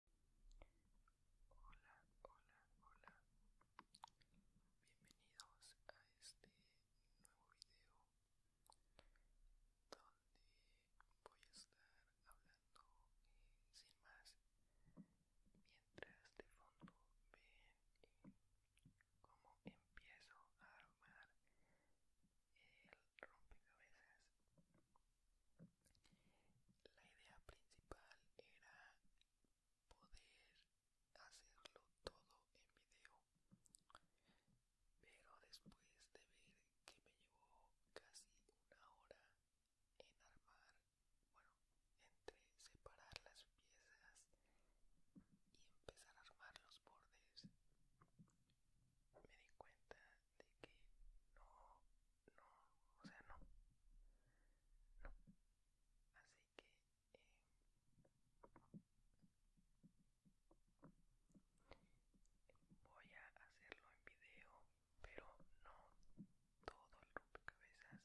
Hola, hola, hola. Bienvenidos a este nuevo video donde voy a estar hablando sin más mientras de fondo ven cómo empiezo a armar el rompecabezas la idea principal era poder hacerlo todo en video, pero después de ver que me llevó casi una hora en armar, bueno, entre separar las piezas y empezar a armar los bordes, me di cuenta de que no no, o sea, no, no, así que eh, voy a hacerlo en video, pero no todo el cabezas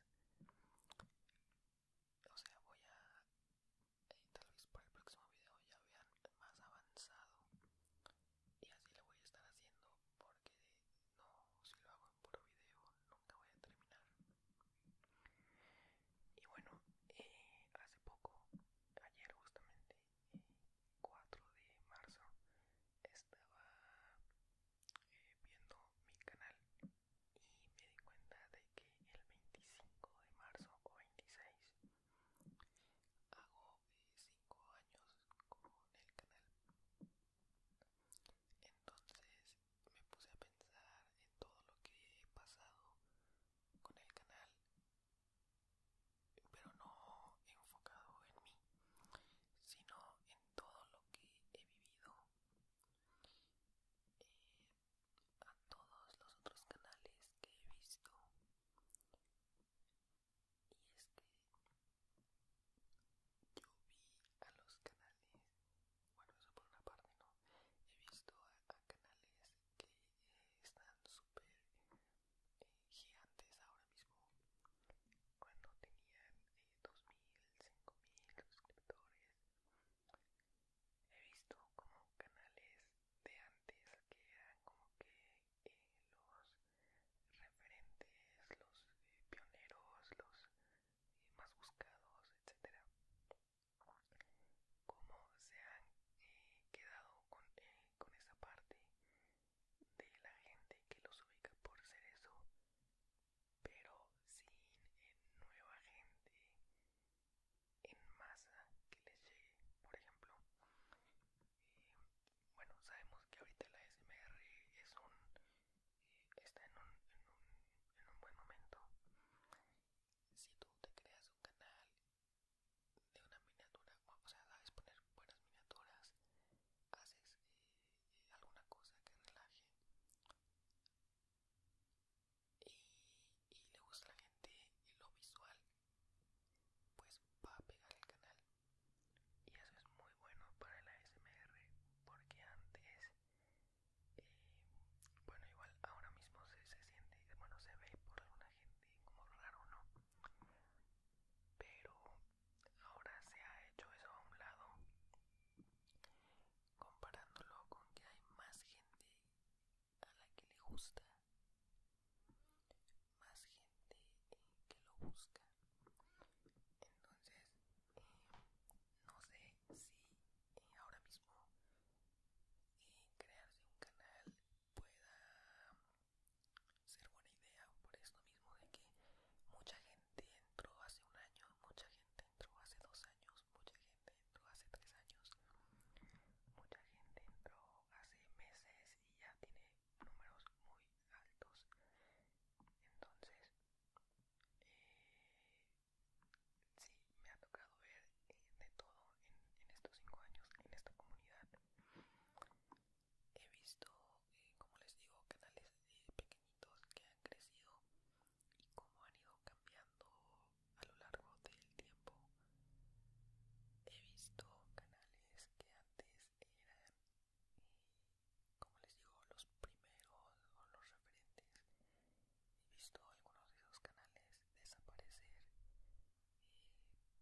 o sea, voy a, eh, tal vez para el próximo video ya vean más avanzado y así lo voy a estar haciendo porque no, si lo hago en puro video nunca voy a terminar. Y bueno, eh, hace poco, ayer justamente, 4 de marzo, estaba eh, viendo mi canal y me di cuenta de que el 25 de marzo o 26 hago de 5 años con el canal entonces me puse a pensar en todo lo que he pasado con el canal pero no enfocado en mí sino en todo lo que he vivido eh, a todos los otros canales que he visto y es que yo vi a los canales bueno eso por una parte no he visto a, canales que eh, están súper eh, gigantes ahora mismo cuando tenían 2000 eh, 5000 suscriptores he visto como canales de antes que eran como que los referentes, los eh, pioneros, los eh, más buscados, etcétera, cómo se han eh, quedado con, esa parte de la gente que los ubica por ser eso, pero sin nueva gente en masa que les llegue. Por ejemplo, bueno sabemos que ahorita la SMR es un está en un, en, un, buen momento si tú te creas un canal de una miniatura o sea sabes poner buenas miniaturas haces eh, alguna cosa que relaje y, y le gusta a la gente lo visual pues va a pegar el canal y eso es muy bueno para la SMR porque antes eh, bueno igual ahora mismo se, se siente bueno se ve por alguna gente como raro no pero ahora se ha hecho eso a un lado comparándolo con que hay más gente a la que le gusta más gente eh, que lo busca entonces eh, no sé si eh, ahora mismo crearse un canal pueda ser buena idea por eso mismo de que mucha gente entró hace un año mucha gente entró hace dos años mucha gente entró hace tres años mucha gente entró hace meses y ya tiene números muy altos. Entonces, eh, sí, me ha tocado ver eh, de todo en, estos cinco años en esta comunidad. He visto, eh, como les digo, canales eh, pequeñitos que han crecido y cómo han ido cambiando a lo largo del tiempo. He visto canales que antes eran como les digo, los primeros o los referentes. He visto algunos de esos canales desaparecer y eh,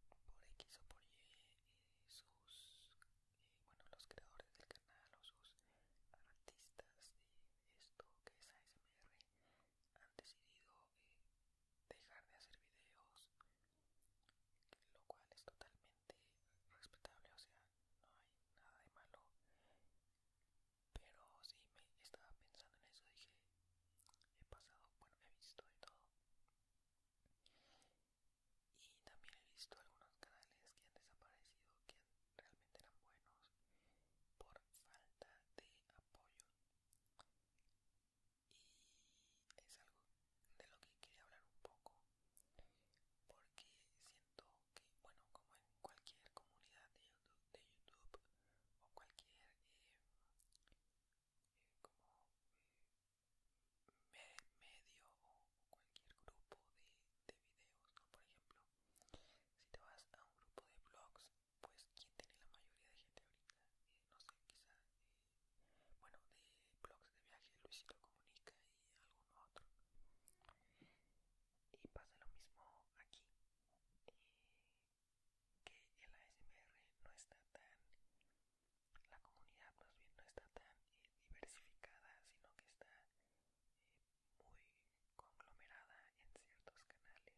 por X o por Y, eh, sus, eh, bueno, los creadores del canal o sus artistas de esto que es ASMR han decidido dejar de hacer videos lo cual es totalmente respetable, o sea, no hay nada de malo. Pero sí me estaba pensando en eso, dije, he pasado, bueno, he visto de todo. Y también he visto algunos canales que han desaparecido, que realmente eran buenos, por falta de apoyo y es algo de lo que quería hablar un poco porque siento que bueno como en cualquier comunidad de youtube, o cualquier eh, eh, como eh, medio o, cualquier grupo de, de videos por ejemplo si te vas a un grupo de blogs pues quien tiene la mayoría de gente ahorita no sé, quizá, eh, bueno, de blogs de viaje, Luisito Comunica y alguno otro. Y pasa lo mismo aquí, eh, que el ASMR no está tan, la comunidad más bien no está tan eh, diversificada, sino que está muy conglomerada en ciertos canales. Y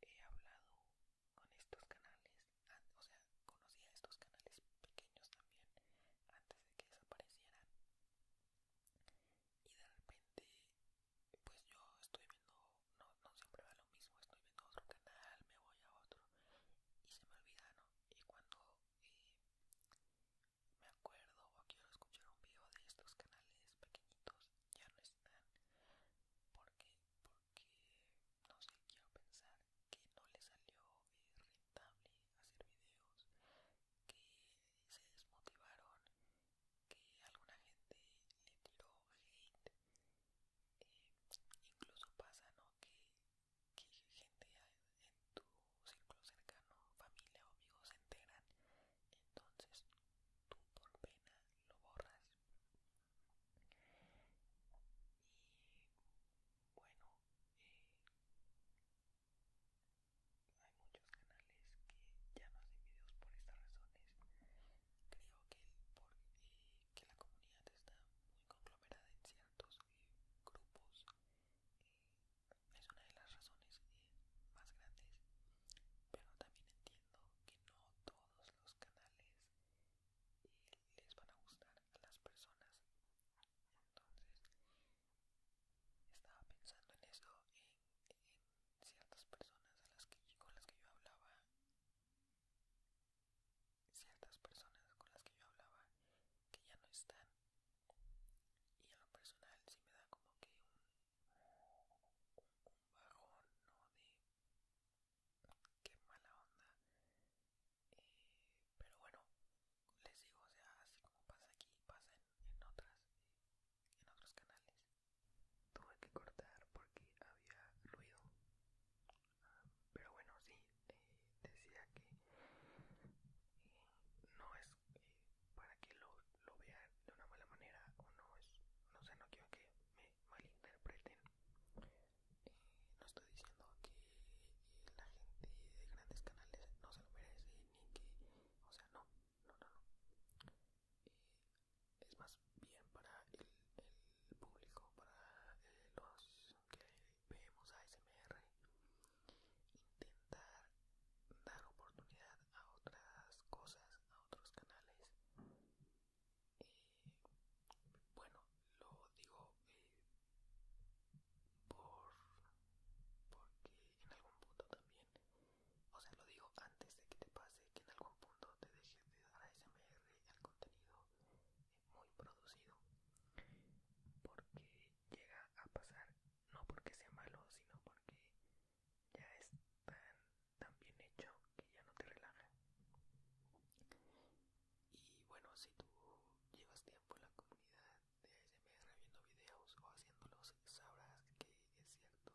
yo he hablado con estos canales, o sea, conocía estos canales pequeños también antes de que desaparecieran. Y de repente, pues yo estoy viendo, no, no siempre va lo mismo, estoy viendo otro canal, me voy a otro y se me olvida, ¿no? Y cuando eh, me acuerdo o quiero escuchar un video de estos canales pequeñitos, ya no están porque que no sé, quiero pensar que no le salió rentable hacer videos, que se desmotivaron, que alguna gente le tiró hate, eh, incluso pasa ¿no? que, que gente en tu círculo cercano, familia o amigos se enteran, entonces tú por pena lo borras y bueno, eh, hay muchos canales que ya no hacen videos por estas razones. Creo que, eh, la comunidad está muy conglomerada en ciertos eh, grupos. es una de las razones más grandes. Pero también entiendo que no todos los canales y les van a gustar a las personas. Entonces, estaba pensando en eso, en, ciertas personas las con las que yo hablaba, ciertas personas con las que yo hablaba que ya no están. Y a lo personal Si me da como que un, un bajón, ¿no? De, qué mala onda. Eh, pero bueno, les digo, o sea, así como pasa aquí, pasa en, en otras, en otros canales. Tuve que cortar porque había ruido. pero bueno, sí, decía que eh, no es eh, para que lo, lo vean de una mala manera o no es, no sé, no quiero que malinterpreten. Eh, no estoy diciendo que la gente de grandes canales no se lo merece ni que, o sea, no, no, no, no. Eh, es más bien para el, público, para eh, los que vemos SMR, intentar dar oportunidad a otras cosas, a otros canales y eh, bueno lo digo eh, por porque en algún punto también o sea lo digo antes de que te pase que en algún punto te dejes de dar ASMR al contenido eh, muy producido porque llega a pasar no porque sea malo sino porque ya es tan tan bien hecho que ya no te relaja. Y bueno, si tú llevas tiempo en la comunidad de ASMR viendo videos o haciéndolos, sabrás que es cierto,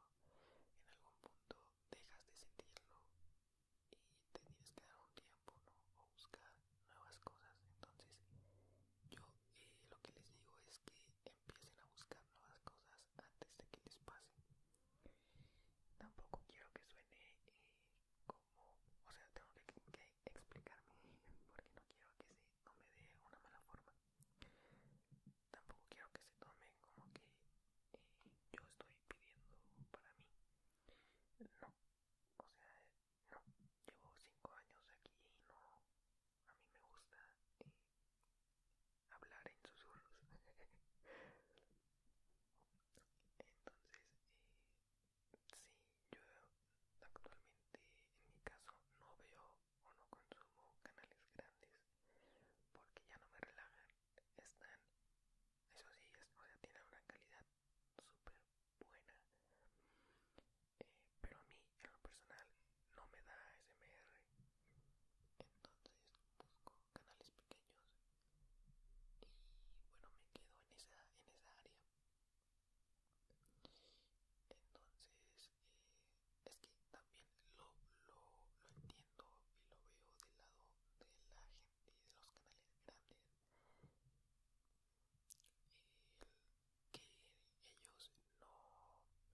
en algún punto dejas de sentirlo y te tienes que dar un tiempo ¿no? o buscar nuevas cosas. Entonces, yo eh, lo que les digo es que empiecen a buscar nuevas cosas antes de que les pase. Tampoco quiero que suene eh, como, o sea, tengo que, explicarme porque no quiero que se tome de una mala forma. Tampoco quiero que se tome como que eh, yo estoy pidiendo para mí. No, o sea, no. Llevo cinco años aquí y no, a mí me gusta eh, hablar en susurros. Entonces, eh, sí, yo actualmente en mi caso no veo o no consumo canales grandes porque ya no me relajan. Están, eso sí, es, o tienen una calidad súper buena. Eh, pero a mí, en lo personal, no me da SMR. Entonces busco canales pequeños y bueno me quedo en esa en esa área entonces eh, es que también lo, lo, entiendo y lo veo del lado de la gente de los canales grandes que ellos no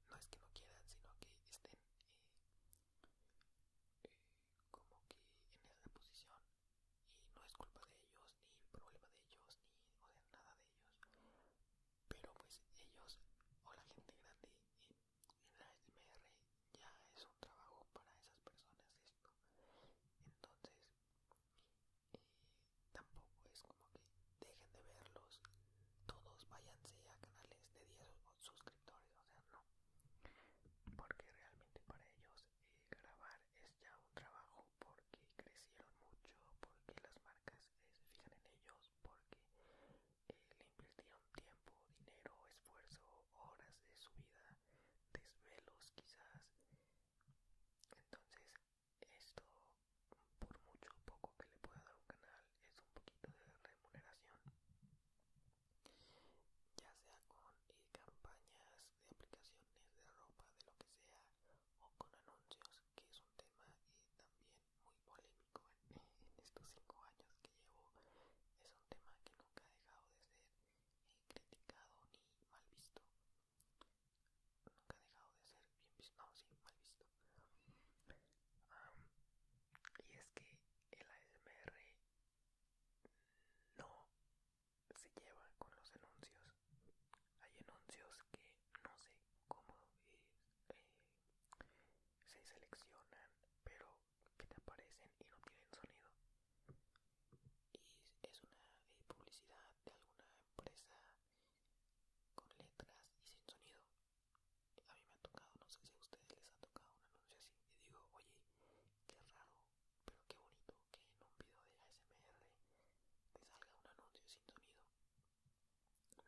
no es que no quieran sino que estén eh, como que en esa posición y no es culpa de ellos ni problema de ellos ni o nada de ellos pero pues ellos o la gente grande en la SMR ya es un trabajo para esas personas esto entonces eh, tampoco es como que dejen de verlos todos váyanse a canales de 10 suscriptores o sea no porque realmente para ellos eh, grabar es ya un trabajo porque crecieron mucho, porque las marcas eh, se fijan en ellos, porque eh, le invirtieron tiempo, dinero, esfuerzo, horas de su vida, desvelos quizás. Entonces esto, por mucho poco que le pueda dar un canal, es un poquito de remuneración ya sea con eh, campañas de aplicaciones de ropa, de lo que sea, o con anuncios, que es un tema eh, también muy polémico en, estos cinco años que llevo. Es un tema que nunca ha dejado de ser eh, criticado ni mal visto. Nunca ha dejado de ser bien visto, no, sí, mal visto. y es que el ASMR no se lleva con los anuncios. Hay anuncios que no sé cómo eh, se seleccionan, pero que te aparecen y no tienen sonido. Y es una eh, publicidad de alguna empresa con letras y sin sonido a mí me ha tocado, no sé si a ustedes les ha tocado un anuncio así y digo, oye, qué raro, pero qué bonito que en un video de ASMR te salga un anuncio sin sonido.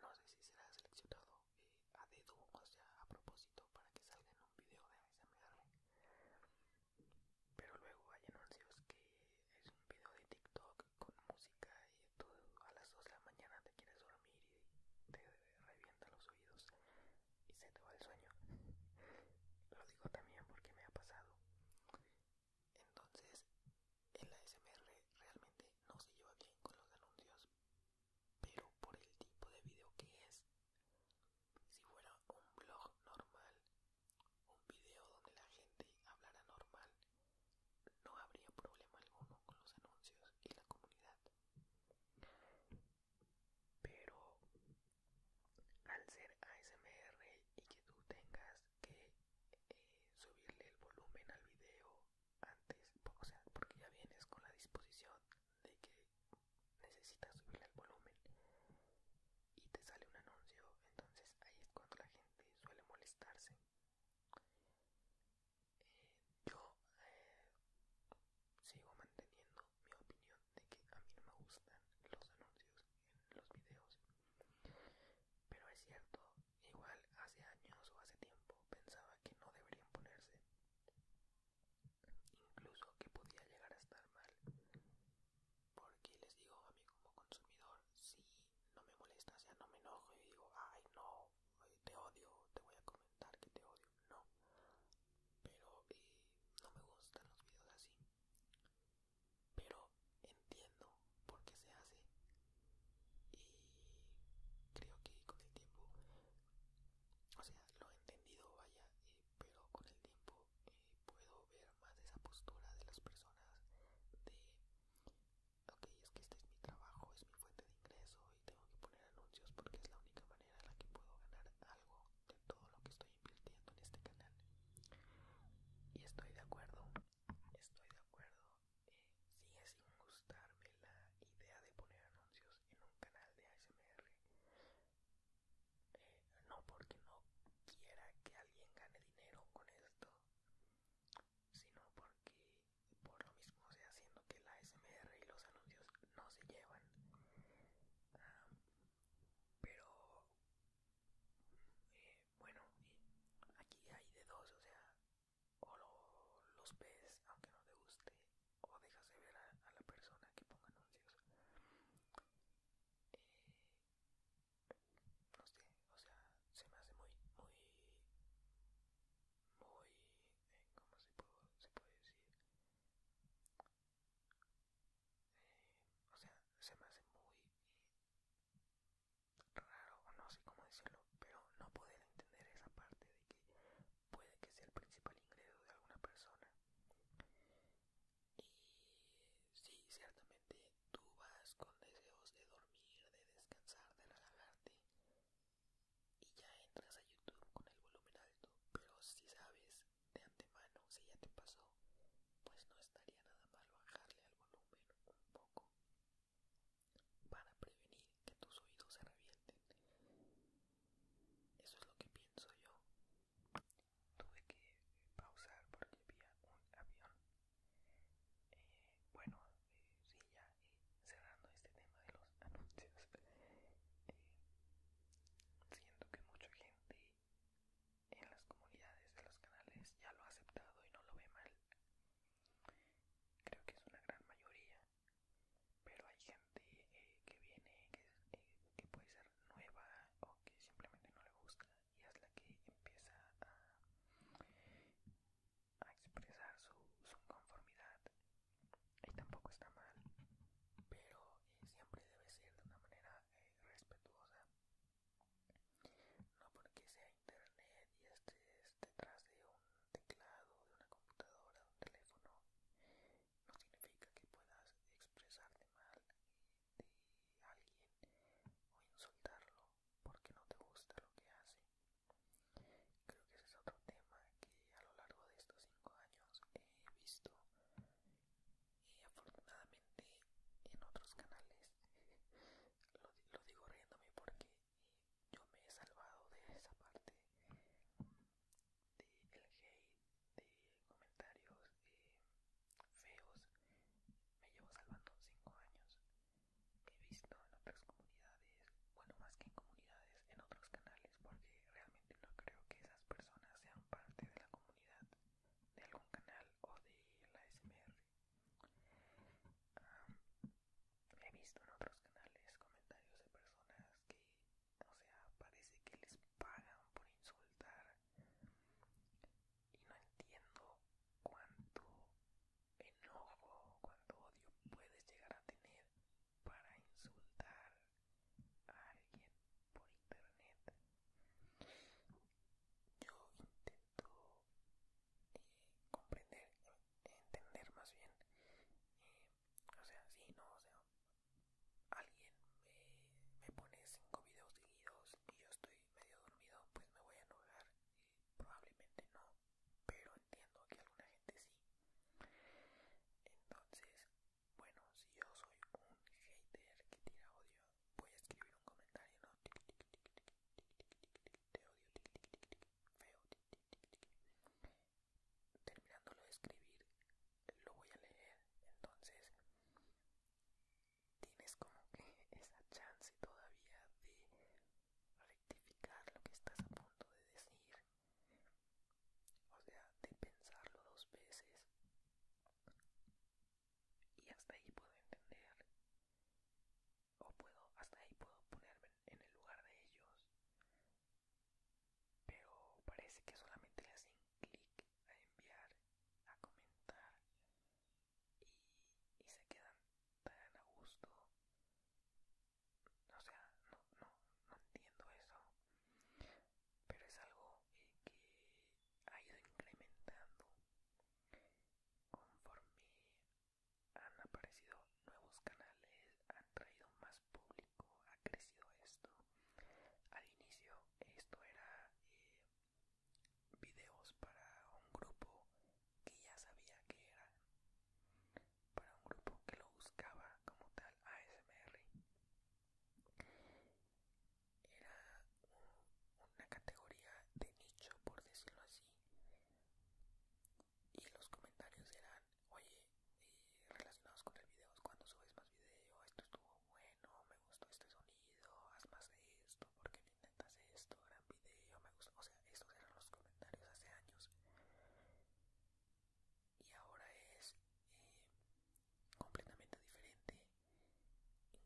No sé si será seleccionado eh, a dedo, o sea, a propósito, para que salga en un video de ASMR. Pero luego hay anuncios que es un video de TikTok con música y tú a las 2 de la mañana te quieres dormir y te revientas los oídos y se te va el sueño. Lo digo también porque me ha pasado. Entonces, en el SMR realmente no se lleva bien con los anuncios, pero por el tipo de video que es, si fuera un blog normal, un video donde la gente hablara normal, no habría problema alguno con los anuncios y la comunidad pero al ser ASMR y que tú tengas que eh, subirle el volumen al video antes, o sea, porque ya vienes con la disposición de que necesitas subirle el volumen y te sale un anuncio, entonces ahí es cuando la gente suele molestarse. Eh, yo eh, sigo manteniendo mi opinión de que a mí no me gustan los anuncios en los videos pero es cierto igual hace años o hace tiempo pensaba que no deberían ponerse incluso que podía llegar a estar mal porque les digo a mí como consumidor si no me molesta o sea no me enojo y digo ay no te odio te voy a comentar que te odio no. Pero eh, no me gustan los videos así. Pero entiendo por qué se hace. Y creo que con el tiempo, o sea, lo he entendido, vaya, eh, pero con el tiempo eh, puedo ver más esa postura de las personas de, ok, es que este es mi trabajo, es mi fuente de ingreso, tengo que poner anuncios porque es la única manera en la que puedo ganar algo de todo lo que estoy invirtiendo en este canal. Y estoy de acuerdo, estoy de acuerdo. Eh, sigue sin gustarme la idea de poner anuncios en un canal de ASMR. Eh, no porque no quiera que alguien gane dinero con esto, sino porque por lo mismo, o sea, haciendo que la SMR y los anuncios no se llevan. Ah, pero eh, bueno, aquí hay de dos, o sea, o los ves aunque no te guste, o dejas de ver a, la persona que ponga anuncios. Eh, no sé, o sea, se me hace muy, muy, muy eh, ¿cómo se, se puede decir? Eh, o sea, se me hace muy raro, no sé cómo decirlo, pero no poder entender esa parte de que puede que sea el principal ingreso de alguna persona. Y sí, ciertamente tú vas con deseos de dormir, de descansar, de relajarte, y ya entras a YouTube con el volumen alto, pero si sabes de antemano, si ya te pasó, pues no estaría nada mal bajarle al volumen un poco para prevenir que tus oídos se revienten. Eso es lo que pienso yo. Tuve que pausar porque había un avión. Eh, bueno, sí, ya eh, cerrando este tema de los anuncios, eh, siento que mucha gente en las comunidades de los canales ya lo ha aceptado y no lo ve mal. Creo que es una gran mayoría, pero hay gente eh, que viene, que puede ser nueva o que simplemente no le gusta y es la que empieza a a expresar su, conformidad y tampoco está mal pero eh, siempre debe ser de una manera eh, respetuosa no porque sea internet y estés detrás de un teclado de una computadora de un teléfono no significa que puedas expresarte mal eh, de alguien o insultarlo porque no te gusta lo que hace Creo que ese es otro tema que a lo largo de estos cinco años he visto y afortunadamente en otros canales lo, digo riéndome porque yo me he salvado de esa parte del hate de comentarios eh, feos me llevo salvando cinco años he visto en otras comunidades bueno, más que en comunidades, en otros canales, porque realmente no creo que esas personas sean parte de la comunidad de algún canal o de la SMR. he visto en otros canales comentarios de personas que, o sea, parece que les pagan por insultar y no entiendo cuánto enojo, cuánto odio puedes llegar a tener para insultar a alguien por internet. Yo intento eh, comprender, entender más bien. Eh, o sea, si no, o sea, alguien me, pone cinco videos seguidos y yo estoy medio dormido, pues me voy a enojar. probablemente no, pero entiendo que alguna gente sí. Entonces, bueno, si yo soy un hater que tira odio, voy a escribir un comentario, Te odio, feo. Terminándolo de escribir, lo voy a leer. Entonces, tienes como que esa chance todavía de rectificar lo que estás a punto de decir o sea, de pensarlo dos veces. Y hasta ahí puedo entender. O puedo, hasta ahí puedo ponerme en el lugar de ellos. Pero parece que solamente le hacen clic a enviar, a comentar. y se quedan tan a gusto o sea, no, no, no entiendo eso. Pero es algo que ha ido incrementando conforme han aparecido nuevos canales, han traído más público, ha crecido esto. Al inicio esto era eh, videos para un grupo que ya sabía que era para un grupo que lo buscaba como tal ASMR. Era una categoría de nicho, por decirlo así. Y los comentarios eran, oye, eh, relacionados con el video, cuando subes más video, esto estuvo bueno, me gustó este sonido, haz más de esto, porque no intentas esto, gran video, me gustó. O sea, estos eran los comentarios hace años y ahora es eh, completamente diferente.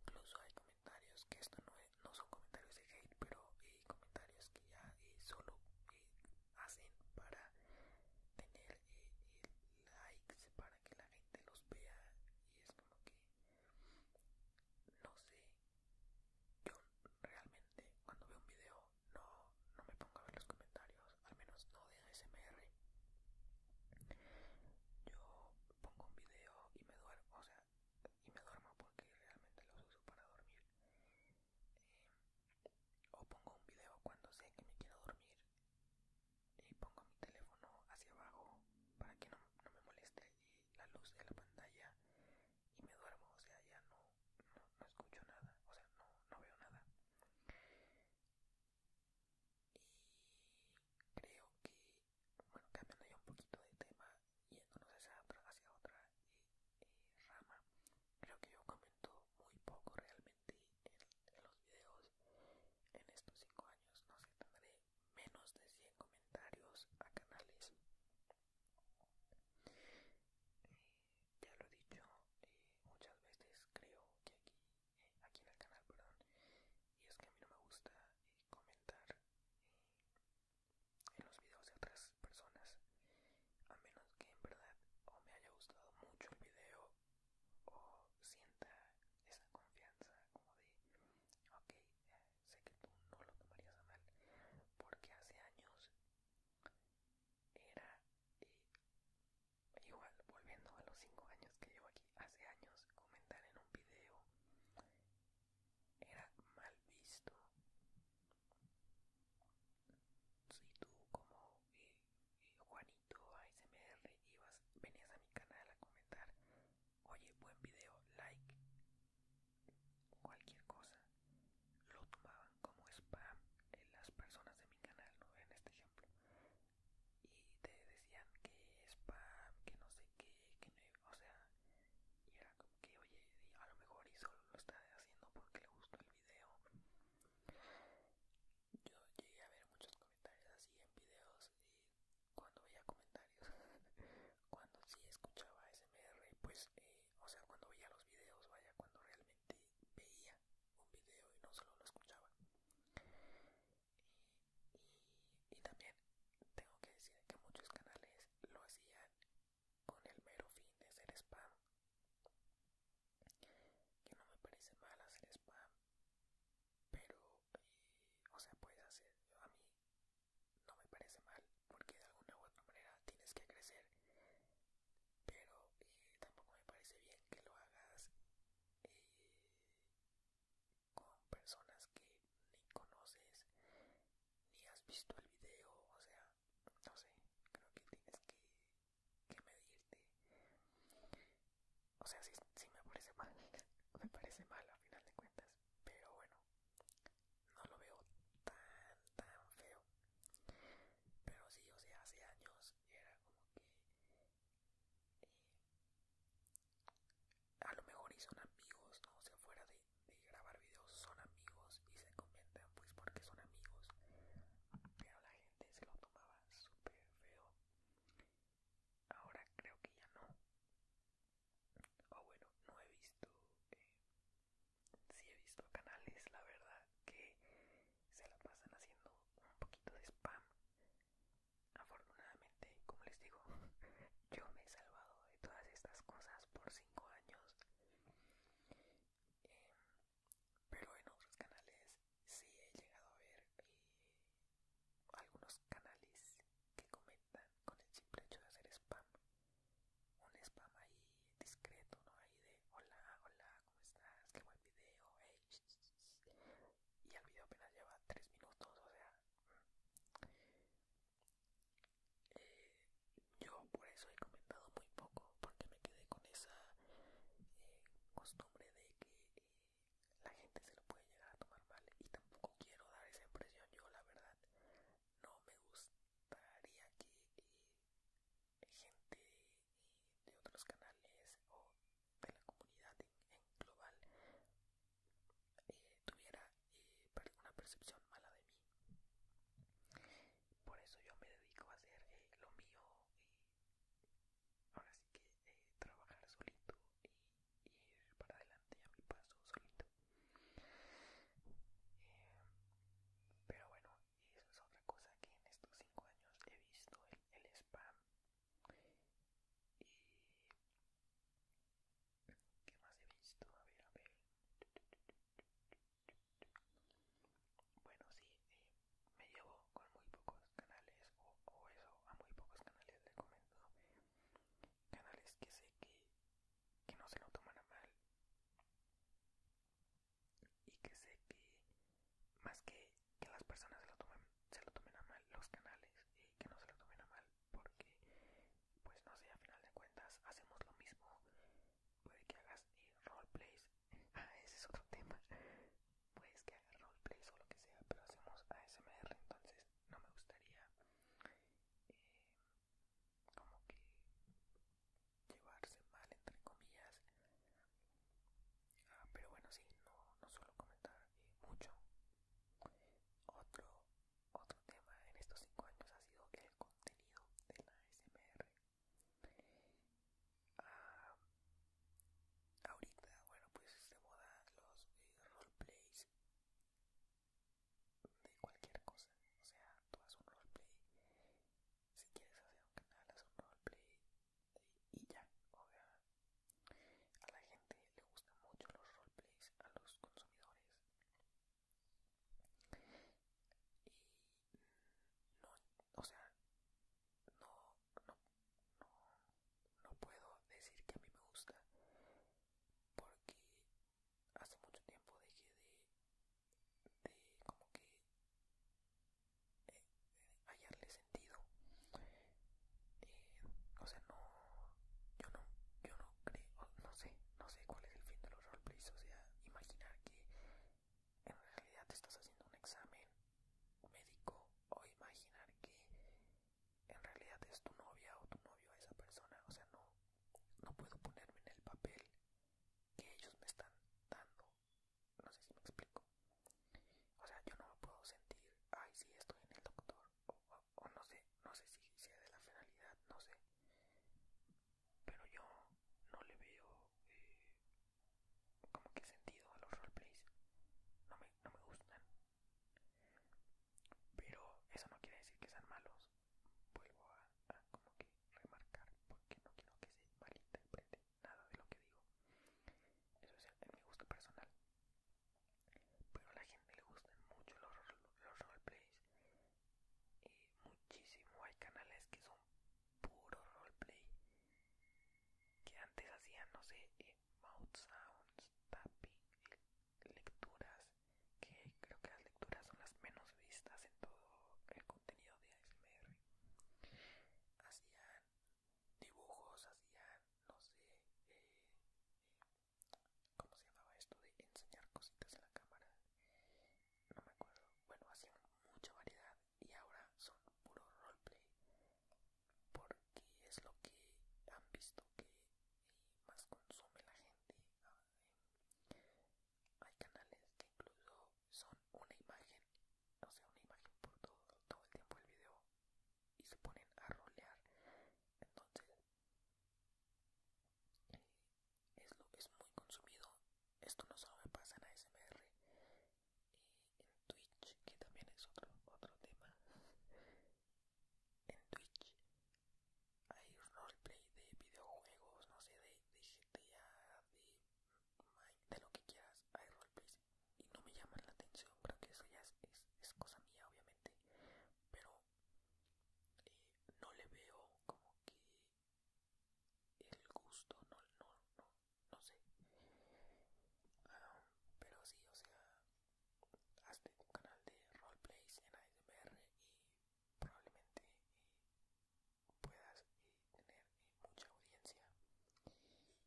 Incluso hay comentarios que esto no, no son comentarios de hate, pero hay comentarios que ya eh, solo eh, hacen para tener likes, para que la gente los vea. Y es como que, no sé, yo realmente cuando veo un video no, no me pongo a ver los comentarios, al menos no de ASMR. Yo pongo un video y me duermo, o sea, y me duermo porque realmente los uso para dormir. Eh, o pongo un video cuando sé que me quiero dormir y pongo mi teléfono hacia abajo para que no, no me moleste y la luz de la pantalla y me duermo, o sea, ya no, no, escucho nada, o sea, no, no veo nada. Y creo que, bueno, cambiando ya un poquito de tema, yéndonos hacia otra, hacia otra eh, rama, creo que yo comento muy poco realmente en, los videos. En estos cinco años, no sé, tendré menos de 100 comentarios a canales ya lo he dicho eh, muchas veces, creo que aquí, eh, aquí en el canal, perdón, y es que a mí no me gusta eh, comentar en los videos de otras personas, a menos que en verdad o me haya gustado mucho el video o sienta esa confianza como de, ok, sé que tú no lo tomarías a mal, porque hace años era eh, igual volviendo a los 5 años que llevo aquí hace años comentar en un video era mal visto si tú como eh, eh, Juanito ASMR ibas venías a mi canal a comentar oye buen video like cualquier cosa lo tomaban como spam en las personas de mi canal, ¿no? en este ejemplo, y te decían que spam, que no sé qué, que no, o sea, y era como que, oye, a lo mejor y solo lo está haciendo porque le gustó el video. Yo llegué a ver muchos comentarios así en videos y cuando veía comentarios, cuando sí escuchaba SMR, pues. Eh, o sea, cuando veía los videos, vaya, cuando realmente veía un video y no solo lo escuchaba. Y, también tengo que decir que muchos canales lo hacían con el mero fin de hacer spam. Que no me parece mal hacer spam, pero, eh, o sea, puede hacer, a mí no me parece mal, porque de alguna u otra manera tienes que crecer, pero eh, tampoco me parece bien que lo hagas eh, con personas que ni conoces, ni has visto el video, o sea, no sé, creo que tienes que, medirte. O sea, si sí me parece mal, me parece mal a final de cuentas, pero bueno, no lo veo tan, tan feo. Pero sí, o sea, hace años era como que... Eh, a lo mejor y son amigos, ¿no? O sea, fuera de, grabar videos son amigos y se comentan pues porque son amigos. Pero la gente se lo tomaba súper feo. Ahora creo que ya no. O bueno, no he visto eh, si he visto canales, la verdad, que se la pasan haciendo un poquito de spam. Afortunadamente, como les digo, yo me he salvado de todas estas cosas por 5 años. Em, pero en otros canales sí he llegado a ver eh, algunos canales que comentan con el simple hecho de hacer spam un spam ahí discreto, ¿no? Ahí de hola, hola, ¿cómo estás? Qué buen video, Y el video apenas lleva 3 minutos, o sea. Eh, yo por eso he comentado muy poco, porque me quedé con esa eh, costumbre de que eh, la gente se lo puede llegar a tomar mal y tampoco quiero dar esa impresión. Yo, la verdad, no me gusta pararía que gente de, otros canales o de la comunidad en, global eh, tuviera eh, una percepción mala de mí. Por eso yo me dedico a hacer eh, lo mío. ahora sí que trabajar solito y, y ir para adelante a mi paso solito pero bueno, eso es otra cosa que en estos cinco años he visto, el, spam. Y... ¿Qué más he visto? A ver, a ver. Bueno, sí, eh, me llevo con muy pocos canales, o, o eso, a muy pocos canales comento Canales que sé que que no se lo tomen a mal y que sé que más que que las personas se lo tomen se lo tomen a mal los canales y que no se lo tomen a mal porque pues no sé a final de cuentas hacemos lo mismo puede que hagas eh, roleplays ah ese es otro tema puedes que hagas roleplays o lo que sea pero hacemos ASMR entonces no me gustaría eh, como que llevarse mal entre comillas ah, pero bueno sí no, no suelo comentar eh, mucho otro otro tema en estos cinco años ha sido el contenido de la SMR ah, ahorita bueno pues se modan los eh, roleplays de cualquier cosa, o sea, tú haces un roleplay, si quieres hacer un canal, Haces un roleplay y ya, o sea, a la gente le gustan mucho los roleplays, a los consumidores y no, o sea, no, no, no puedo decir que a mí me gusta porque hace mucho tiempo dejé de, de como que eh, hallarle sentido eh, o sea no yo no yo no creo no sé no sé cuál es el fin de los roleplays o sea imaginar que en realidad te estás haciendo un examen médico o imaginar que en realidad es tu novia o tu novio esa persona o sea no no puedo ponerme en el papel que ellos me están dando. No sé si me explico. O sea, yo no me puedo sentir, ay, sí, estoy en el doctor. O, no sé, no sé si sea de la finalidad, no sé. Pero yo no le veo eh, como que sentido a los roleplays. No me, no me gustan. Pero eso no quiere decir que sean malos vuelvo a, como que remarcar porque no quiero que se malinterprete nada de lo que digo. Eso es mi gusto personal. Pero a la gente le gustan mucho los, roleplays. Y muchísimo. Hay canales que son puro roleplay. Que antes hacían, no sé, eh, mouth sounds, tapping, lecturas que creo que las lecturas son las menos vistas en todo el contenido de ASMR hacían dibujos hacían no sé eh, cómo se llamaba esto de enseñar cositas a la cámara no me acuerdo bueno hacían mucha variedad y ahora son puro roleplay porque es lo que han visto que eh, más consume la gente hay canales que incluso son una imagen, no sé, una imagen por todo, el tiempo el video y se ponen a rolear. Entonces, eh, es, lo, es muy consumido. Esto no solo me pasa en ASMR, Y en Twitch, que también es otro, otro tema. en Twitch hay roleplay de videojuegos, no sé, de, de GTA, de, de lo que quieras, hay roleplay y no me llaman la atención, creo que eso ya es, es, cosa mía obviamente, pero eh, no le veo como que el gusto, no, no, no, no sé. Ah, pero sí, o sea, hazte un canal de roleplays en ASMR y probablemente eh, puedas eh, tener eh, mucha audiencia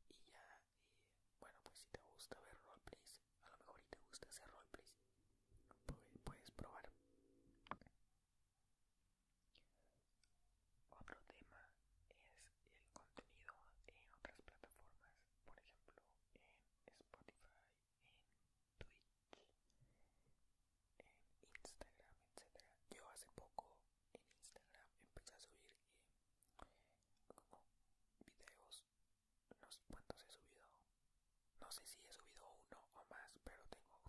y ya bueno pues si te gusta ver roleplays a lo mejor y te gusta hacer roleplays pues, puedes probar otro tema es el contenido en otras plataformas por ejemplo en Spotify en Twitch, en Instagram, etcétera. Yo hace poco en Instagram empecé a subir videos, no sé cuántos he subido, no sé si he subido uno o más, pero tengo,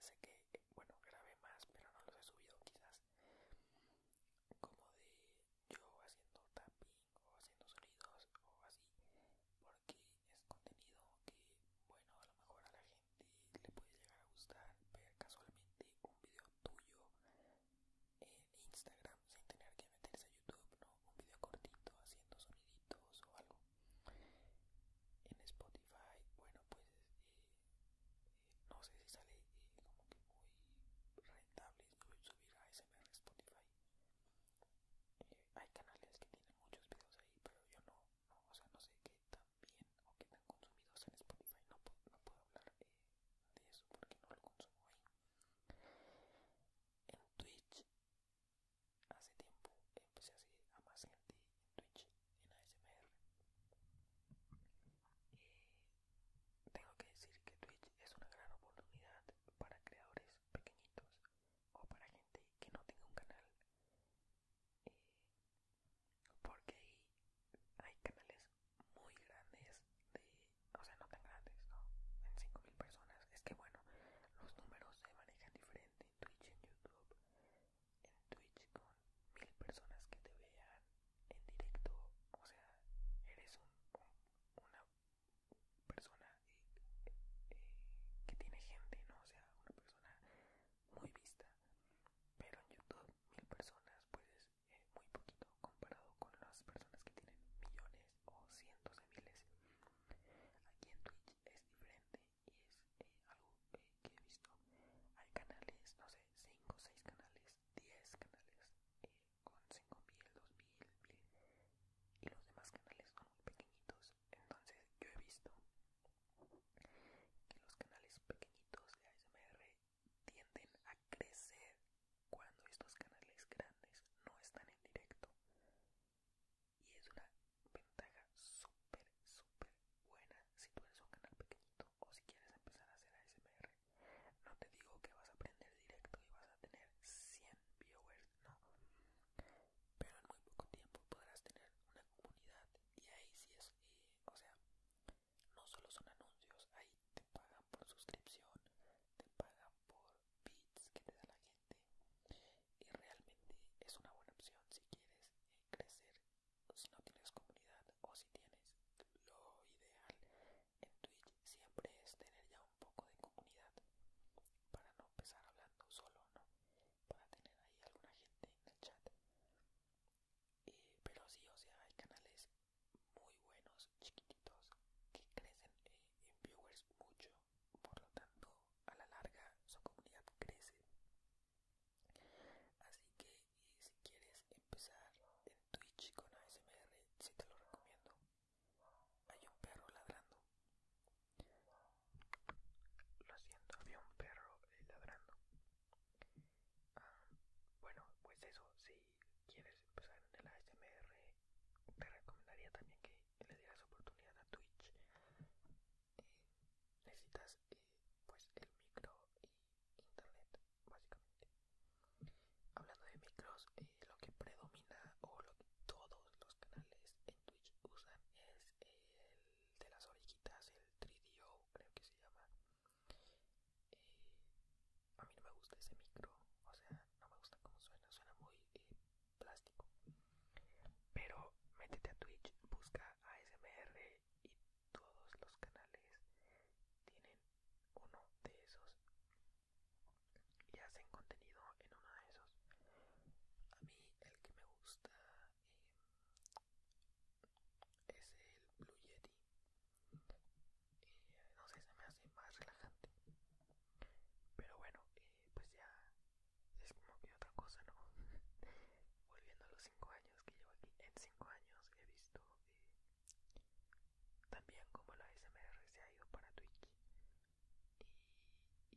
sé que, bueno, grabé más, pero no los he subido quizás, como de yo haciendo tapping o haciendo sonidos o así que es contenido que, bueno, a lo mejor a la gente le puede llegar a gustar ver casualmente un video tuyo en Instagram sin tener que meterse a YouTube, ¿no? Un video cortito haciendo soniditos o algo. En Spotify, bueno, pues eh, no sé si sale eh, como que muy rentable subir a SMR Spotify hay canales que tienen muchos videos ahí pero yo no, o sea no sé qué tan bien o qué tan consumidos en Spotify no, no puedo hablar eh, de eso porque no lo consumo ahí en Twitch hace tiempo empecé a a más gente en Twitch en ASMR eh, tengo que decir que Twitch es una gran oportunidad para creadores pequeñitos o para gente que no tenga un canal eh, porque hay, canales muy grandes de o sea no tan grandes no en 5000 personas es que bueno los números se manejan diferente en Twitch en YouTube en Twitch con mil personas que te vean en directo o sea eres un, una persona eh, que tiene gente, ¿no? O sea, una persona muy vista. Pero en YouTube, mil personas, pues es eh, muy poquito comparado con las personas que tienen millones o cientos de miles. Aquí en Twitch es diferente y es eh, algo que he visto. Hay canales, no sé, 5, 6 canales, 10 canales Con cinco mil, 5.000, 2.000 y los demás canales son muy pequeñitos entonces yo he visto que los canales pequeñitos de ASMR tienden a crecer cuando estos canales grandes no están en directo. Y es una ventaja súper, súper buena si tú eres un canal pequeñito o si quieres empezar a hacer ASMR. No te digo que vas a aprender directo y vas a tener 100 viewers no. Pero en muy poco tiempo podrás tener una comunidad y ahí sí es, eh, o sea, no solo son anuncios, ahí te pagan por suscripción, te pagan por bits que te da la gente y realmente es una buena opción si quieres eh, crecer, si no tienes comunidad o si tienes lo ideal en Twitch siempre es tener ya un un poco de comunidad para no empezar hablando solo, ¿no? Para tener ahí alguna gente en el chat. Eh, pero sí, o sea, hay canales muy buenos, chiquititos, que crecen eh, en viewers mucho, por lo tanto, a la larga su comunidad crece. Así que eh, si quieres empezar en Twitch con ASMR, sí te lo recomiendo. Hay un perro ladrando. Lo siento, había un perro eh, ladrando. Ah, bueno, pues eso, si quieres empezar en el ASMR, te recomendaría también que le digas oportunidad a Twitch. Eh, necesitas eh, pues el micro y internet, básicamente. Hablando de micros, lo que predomina o lo que todos los canales en Twitch usan es el de las orejitas, el 3DO creo que se llama. Eh, a mí no me gusta ese micro, o sea, no me gusta cómo suena, suena muy eh, plástico. Pero métete a Twitch, busca ASMR y todos los canales tienen uno de esos y hacen contenido en uno de esos. A mí el que me gusta eh, es el Blue Yeti. Eh, no sé, se me hace más relajante. Pero bueno, eh, pues ya es como que otra cosa, ¿no? Volviendo a los cinco años que llevo aquí. En cinco años he visto también como la SMR se ha ido para Twitch y,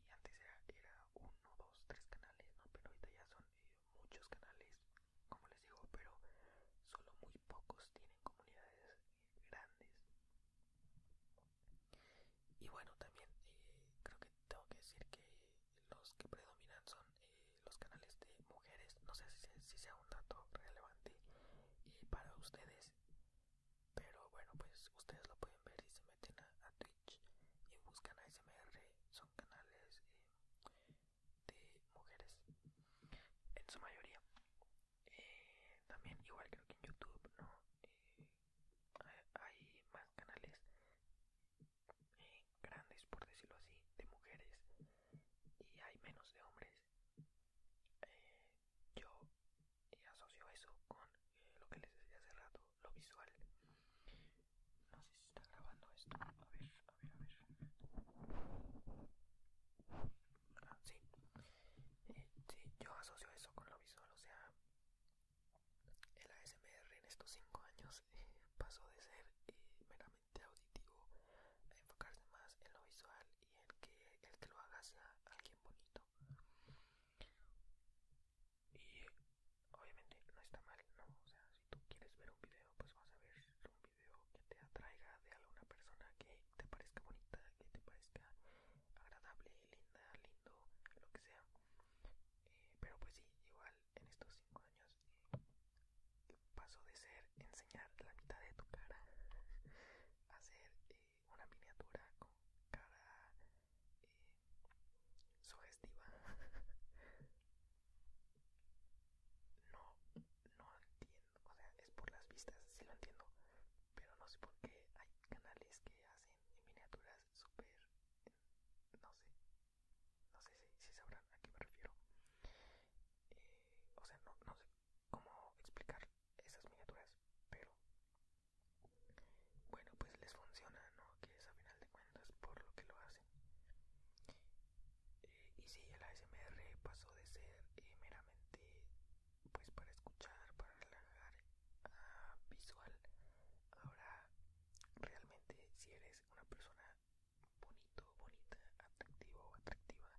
antes era, era uno, dos, tres canales, ¿no? Pero ahorita ya son eh, muchos canales, como les digo, pero solo muy pocos tienen comunidades grandes. Y bueno, también eh, creo que tengo que decir que los que predominan son eh, los canales de mujeres. No sé si, sea un dato relevante para ustedes, pero bueno, pues ustedes lo pueden ver y se meten a, Twitch y buscan a SMR son canales eh, de mujeres en su mayoría. Eh, también igual creo que en YouTube, ¿no? Eh, hay más canales grandes, por decirlo así, de mujeres y hay menos de hombres yo eh, asocio eso con eh, lo que les decía hace rato, lo visual. No sé si está grabando esto. A ver, a ver, a ver. Ah, eh, sí. yo asocio eso con lo visual, o sea, el ASMR en estos 5 años pasó de ser meramente auditivo a enfocarse más en lo visual y en que el que lo haga sea alguien bonito y obviamente no está mal, ¿no? O sea, si tú quieres ver un video, pues vas a ver un video que te atraiga de alguna persona que te parezca bonita, que te parezca agradable, linda, lindo, lo que sea. Eh, pero pues sí, igual en estos cinco años eh, paso de ser enseñar la mitad de tu cara a ser... Eh, una miniatura con cara eh, sugestiva. no, no entiendo, o sea, es por las vistas, sí lo entiendo, pero no sé por qué hay canales que hacen miniaturas súper, no sé, no sé si, si sabrán a qué me refiero. Eh, o sea, no, no sé cómo explicar esas miniaturas, pero bueno pues les funciona no que es a final de cuentas por lo que lo hacen eh, y si el ASMR pasó de ser eh, meramente pues para escuchar para relajar a ah, visual ahora realmente si eres una persona bonito bonita atractivo o atractiva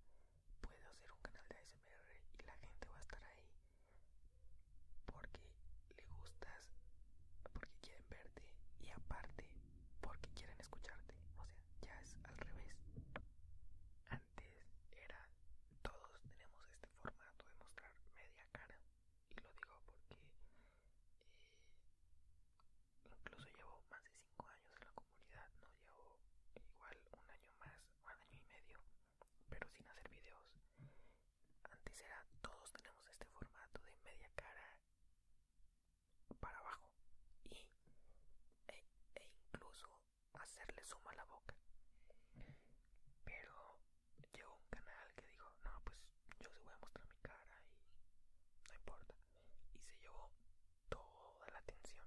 puedes hacer un canal de ASMR y la gente va a estar ahí porque le gustas, porque quieren verte y aparte porque quieren escucharte. O sea, ya es al revés. Antes era todos tenemos este formato de mostrar media cara y lo digo porque eh, incluso llevo más de 5 años en la comunidad, no llevo igual un año más, un año y medio pero sin hacer videos. Antes era todos tenemos este formato de media cara para abajo y e, e incluso hacerle suma a la boca. Pero llegó un canal que dijo, no, pues yo se voy a mostrar mi cara y no importa. Y se llevó toda la atención.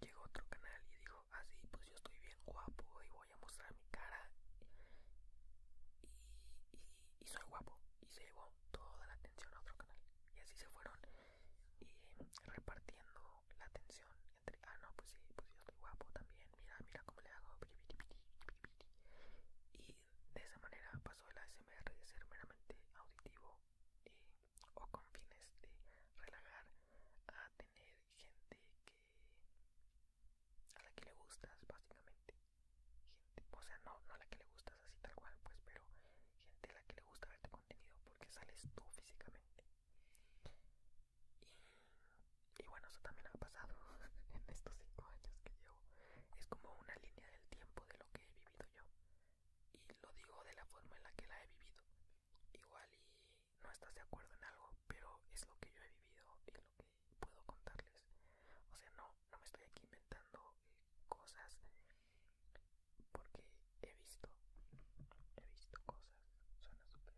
Llegó otro canal y dijo, así ah, pues yo estoy bien guapo y voy a mostrar mi cara y, y, soy guapo. Y se llevó toda la atención a otro canal. Y así se fueron eh, repartiendo la atención entre, ah no, pues sí, pues yo estoy guapo también, mira, mira cómo le hago. Y de esa manera pasó el ASMR de ser meramente auditivo eh, o con fines de relajar a tener gente que a la que le gustas básicamente gente o sea no no a la que le gustas así tal cual pues pero gente a la que le gusta verte contenido porque sales tú físicamente y, y bueno eso también ha pasado en estos cinco años que llevo es como una línea del tiempo de lo que he vivido yo y lo digo de la forma en la que la he vivido igual y no estás de acuerdo en algo, pero es lo que yo he vivido y lo que puedo contarles. O sea, no, no me estoy aquí inventando eh, cosas porque he visto, he visto cosas. Suena súper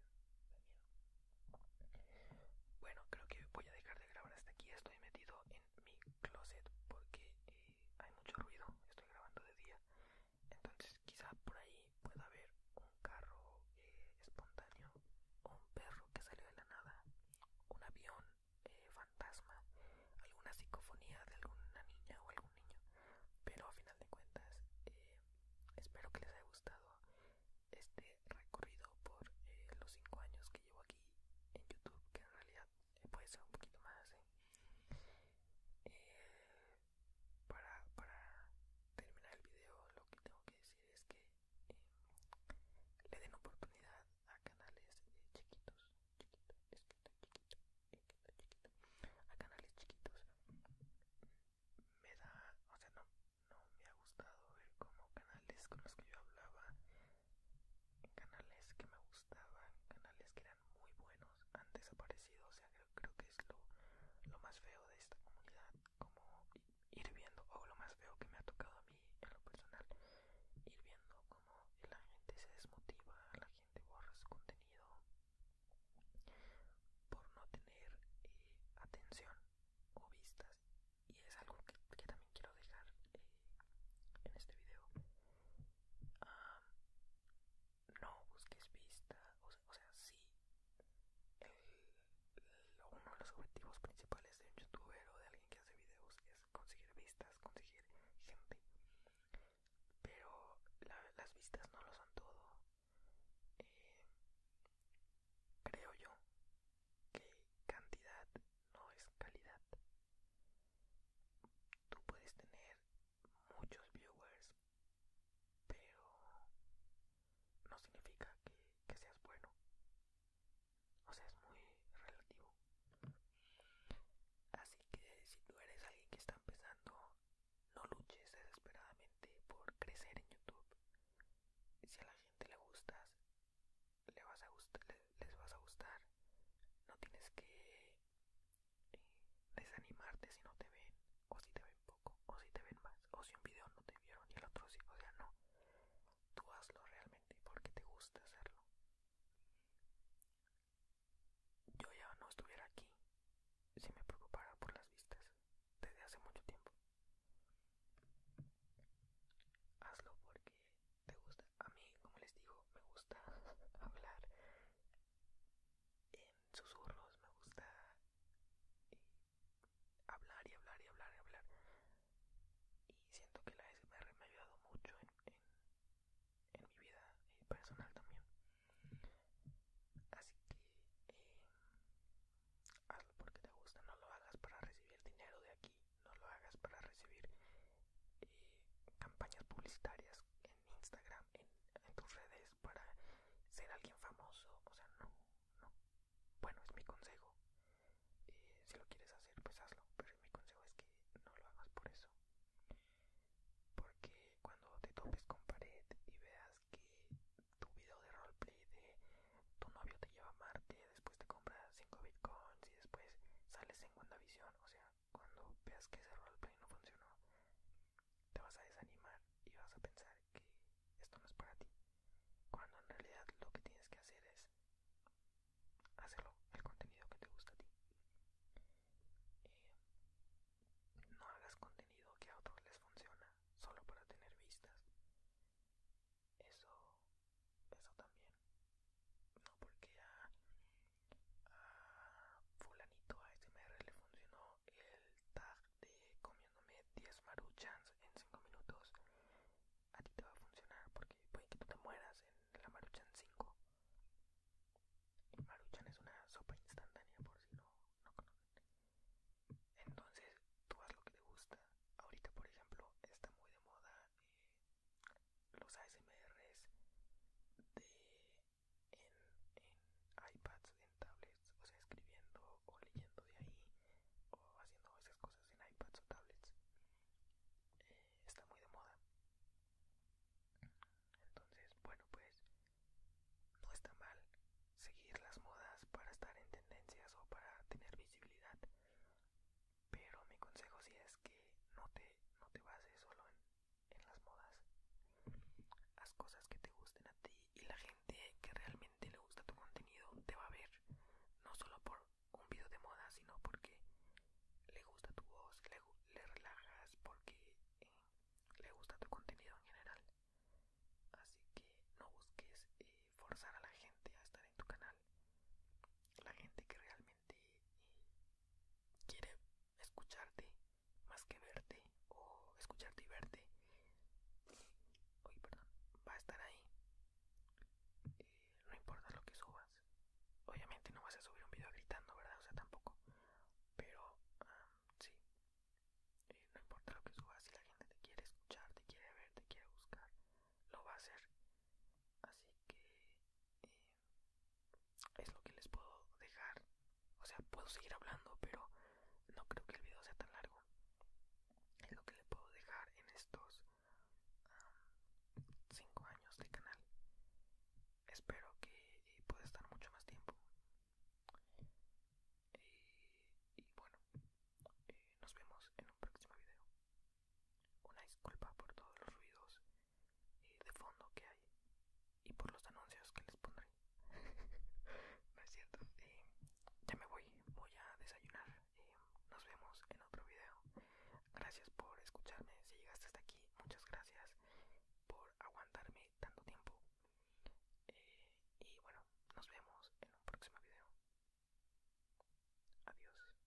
Bueno, creo que voy a dejar de grabar hasta aquí. Estoy metido en mi closet porque eh, hay mucho ruido. Estoy grabando de día entonces quizá por ahí pueda haber un carro eh, espontáneo un perro que salió de la nada un avión eh, fantasma alguna psicofonía de alguna niña o algún niño pero a final de cuentas eh, espero que les haya gustado este recorrido por eh, los 5 años que llevo aquí en youtube que en realidad puede ser un poquito más para, para terminar el video lo que tengo que decir es que eh, le den oportunidad a canales eh, chiquitos, a canales chiquitos. Me da, o sea, no, no me ha gustado ver como canales con los que yo hablaba, canales que me gustaban, canales muy buenos han desaparecido o sea creo, que es lo, lo más feo de esta comunidad como ir viendo o lo más feo que me ha tocado a mí en lo personal ir viendo como la gente se desmotiva la gente borra su contenido por no tener eh, atención o vistas y es algo que, también quiero dejar eh, en este video ah, no busques vista, o sea, o sí, el, uno de los objetivos principales de un youtuber o de alguien que hace videos es conseguir vistas, conseguir gente, pero las vistas no lo son todo. Eh, creo yo que cantidad no es calidad. Tú puedes tener muchos viewers, pero no significa que, seas bueno. O sea, es muy relativo. Así que si tú eres alguien que está empezando, no luches desesperadamente por crecer en YouTube. Si a la gente le gustas, le vas a les vas a gustar. No tienes que eh, desanimarte si no te ven, o si te ven poco, o si te ven más, o si un video no te vieron y el otro sí, o sea, no. Tú hazlo realmente porque te gusta hacerlo. Yo ya no estuviera aquí si me preocupara por las vistas desde hace mucho tiempo. Hazlo porque te gusta. A mí, como les digo, me gusta hablar susurros, me gusta hablar y hablar y hablar y hablar. Y siento que la SMR me ha ayudado mucho en, en, mi vida eh, personal también. Así que eh, hazlo porque te gusta, no lo hagas para recibir dinero de aquí, no lo hagas para recibir eh, campañas publicitarias Instagram, en, tus redes para ser alguien famoso, o sea, no, no. Bueno, es mi consejo. Eh, si lo quieres hacer, pues hazlo, pero mi consejo es que no lo hagas por eso. Porque cuando te topes con pared y veas que tu video de roleplay de tu novio te lleva a Marte, después te compras 5 bitcoins y después sales en WandaVision, o sea, cuando veas que ese roleplay no funcionó, te vas a desanimar y vas a pensar que esto no es para ti, cuando en realidad lo que tienes que hacer es hacerlo el contenido que te gusta a ti. Eh, no hagas contenido que a otros les funciona solo para tener vistas. Eso, eso también. No porque a, a fulanito este le funcionó el tag de comiéndome 10 maruchans en 5 minutos a ti te va a funcionar porque puede que tú te mueras en la maruchan 5. Maruchan es una sopa instantánea por si no, no conocen. Entonces tú haz lo que te gusta. Ahorita por ejemplo está muy de moda eh, los ASMRs de en, en iPads, en tablets, o sea, escribiendo o leyendo de ahí o haciendo esas cosas en iPads o tablets. Eh, está muy de moda. Entonces, bueno, pues no está mal seguir las modas para estar en tendencias o para tener visibilidad. Pero mi consejo sí es que no te, no te bases solo en en las modas. Haz cosas que te gusten a ti y la gente que realmente le gusta tu contenido te va a ver, no solo por un video de moda, sino porque le gusta tu voz, le, relajas, porque eh, le gusta tu contenido en general. Así que no busques eh, forzar a la gente a estar en tu canal. La gente que realmente eh, quiere escucharte más que verte o escucharte y verte hoy perdón, va a estar ahí eh, no importa lo que subas obviamente no vas a subir un video gritando verdad o sea tampoco pero sí eh, no importa lo que subas si la gente te quiere escuchar te quiere ver te quiere buscar lo va a hacer así que eh, es lo que les puedo dejar. O sea, puedo seguir hablando, pero no creo que el video sea tan largo. Es lo que le puedo dejar en estos 5 años de canal. Espero que eh, pueda estar mucho más tiempo. Y, bueno, eh, nos vemos en un próximo video. Una disculpa por todos los ruidos y eh, de fondo que hay y por los anuncios que les pondré. me siento cierto. Eh, ya me voy, voy a desayunar. Eh, nos vemos en otro video. Gracias por escucharme. Si llegaste hasta aquí, muchas gracias por aguantarme tanto tiempo. y bueno, nos vemos en un próximo video. Adiós.